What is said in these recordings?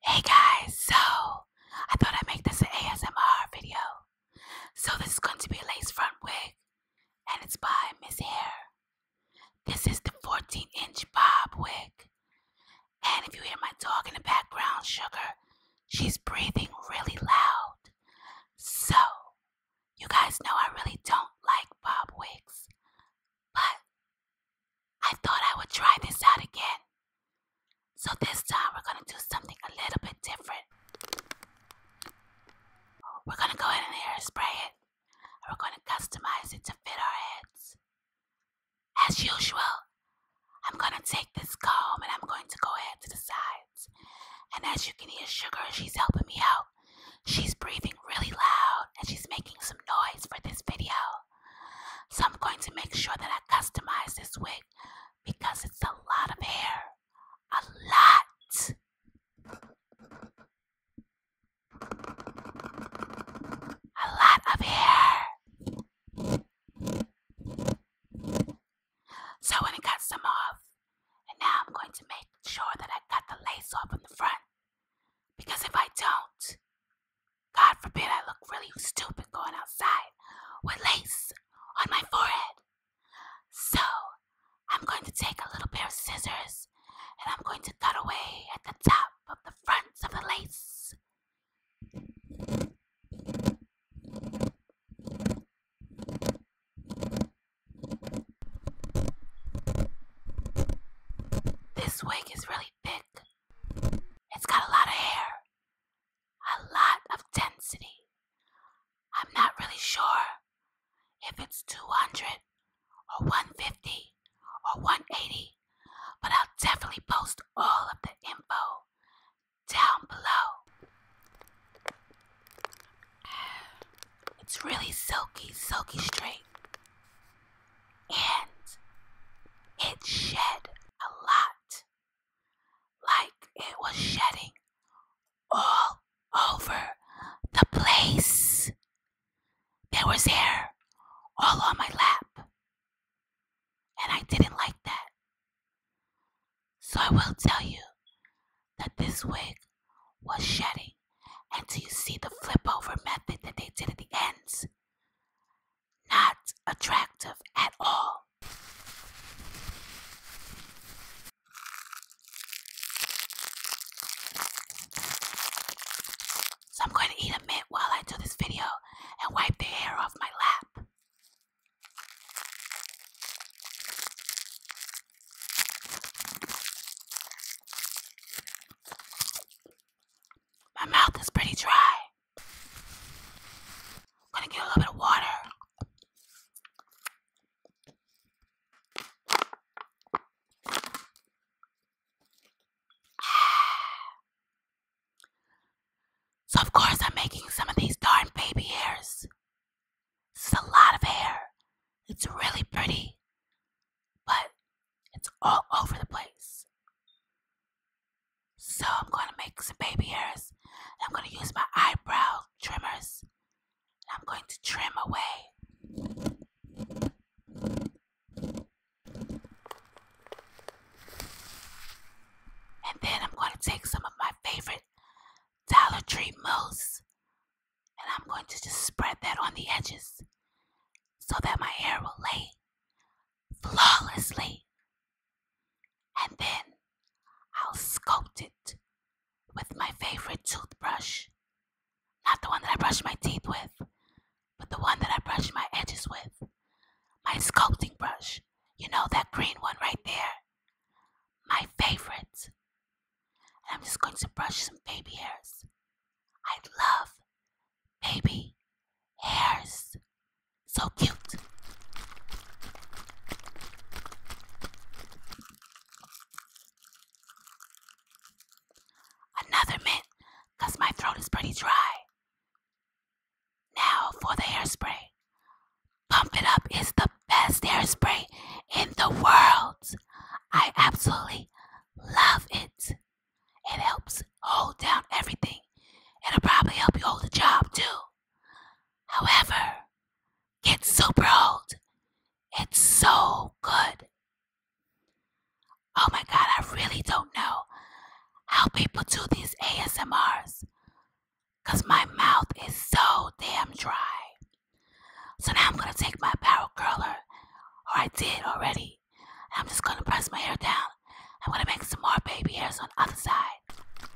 Hey guys, so I thought I'd make this an ASMR video. So this is going to be a lace front wig and it's by Miss Hair. This is the 14 inch bob wig. And if you hear my dog in the background, Sugar, she's breathing really loud. So you guys know I really don't like bob wigs, but I thought I would try this out again. So this time we're gonna do something a little bit different. We're gonna go in and hairspray it, and we're gonna customize it to fit our heads. As usual, I'm gonna take this comb and I'm going to go ahead to the sides. And as you can hear, Sugar, she's helping me out. She's breathing really loud and she's making some noise for this video. So I'm going to make sure that I customize this wig because it's a lot of hair. A lot. A lot of hair. So when it got some off, and now I'm going to make sure that I cut the lace off in the front. Because if I don't, God forbid I look really stupid going outside with lace on my forehead. So I'm going to take a little pair of scissors and I'm going to cut away at the top of the fronts of the lace. This wig is really thick. It's got a lot of hair, a lot of density. I'm not really sure if it's 200 or 150 or 180, but I'll definitely post all of the info down below. it's really silky, silky straight. And it shed a lot. Like it was shedding all over the place. There was hair all on my lap. And I didn't like that. So I will tell you that this wig was shedding until you see the flip over method that they did at the ends. Not attractive at all. So I'm going to eat a mint while I do this video and wipe the hair off my lap. My mouth is pretty dry. gonna get a little bit of water. So, of course, I'm making some of these darn baby hairs. This is a lot of hair. It's really pretty, but it's all over the place. So, I'm going to make some baby hairs. I'm going to use my eyebrow trimmers. And I'm going to trim away. And then I'm going to take some of my favorite Dollar Tree mousse and I'm going to just spread that on the edges so that my hair will lay flawlessly. And then I'll sculpt it with my favorite toothbrush. Not the one that I brush my teeth with, but the one that I brush my edges with. My sculpting brush. You know that green one right there? My favorite. And I'm just going to brush some baby hairs. I love baby hairs. So cute. Another mint, because my throat is pretty dry. Now for the hairspray. Pump It Up is the best hairspray in the world. I absolutely love it. It helps hold down everything. It'll probably help you hold a job too. However, it's so old. It's so good. Oh my God, I really don't know how people do these ASMRs because my mouth is so damn dry. So now I'm going to take my barrel curler, or I did already. I'm just going to press my hair down. I'm going to make some more baby hairs on the other side.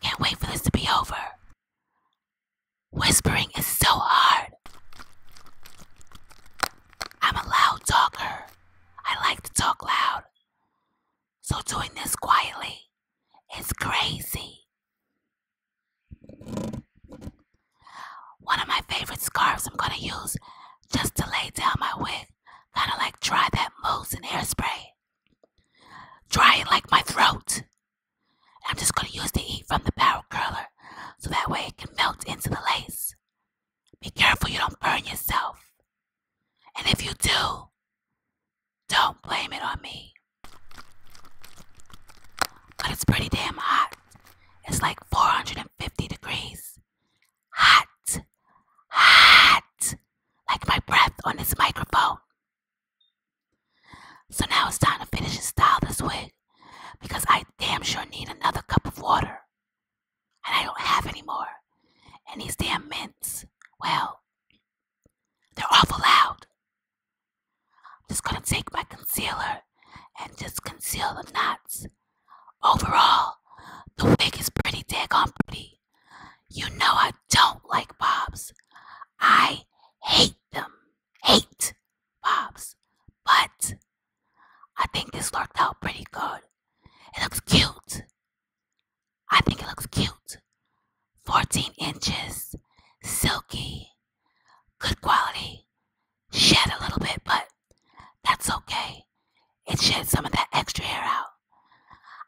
Can't wait for this to be over. Whispering is so hard. I'm a loud talker. I like to talk loud. So doing this quietly is crazy. One of my favorite scarves I'm gonna use just to lay down my wig. Kinda like dry that mousse and hairspray. Dry it like my throat. I'm just gonna use the heat from the power curler so that way it can melt into the lace. Be careful you don't burn yourself. And if you do, don't blame it on me. But it's pretty damn hot. It's like 450 degrees. Hot. Hot. Like my breath on this microphone. So now it's time to finish and style this wig because I damn sure need another cup of water. And I don't have any more. And these damn mints, well, they're awful loud. I'm just gonna take my concealer and just conceal the knots. Overall, the wig is pretty daggone pretty. You know I don't like bobs. I hate them. Hate. Bobs, but I think this worked out pretty good. It looks cute. I think it looks cute. 14 inches, silky, good quality. Shed a little bit, but that's okay. It shed some of that extra hair out.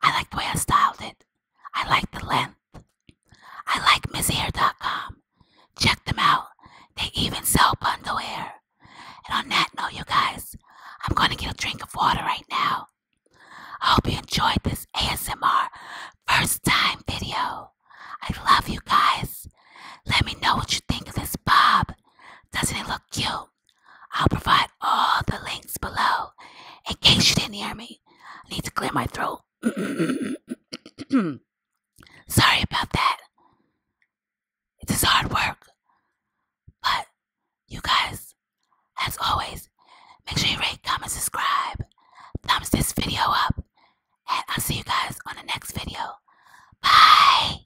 I like the way I styled it. I like the length. I like MissHair.com. Check them out. They even sell bundle hair. And on that note, you guys, I'm going to get a drink of water right now. I hope you enjoyed this ASMR first time video. I love you guys. Let me know what you think of this bob. Doesn't it look cute? I'll provide all the links below in case you didn't hear me. I need to clear my throat. Sorry about that. It is hard work. But you guys, as always, make sure you rate, comment, subscribe, thumbs this video up, and I'll see you guys on the next video. Bye!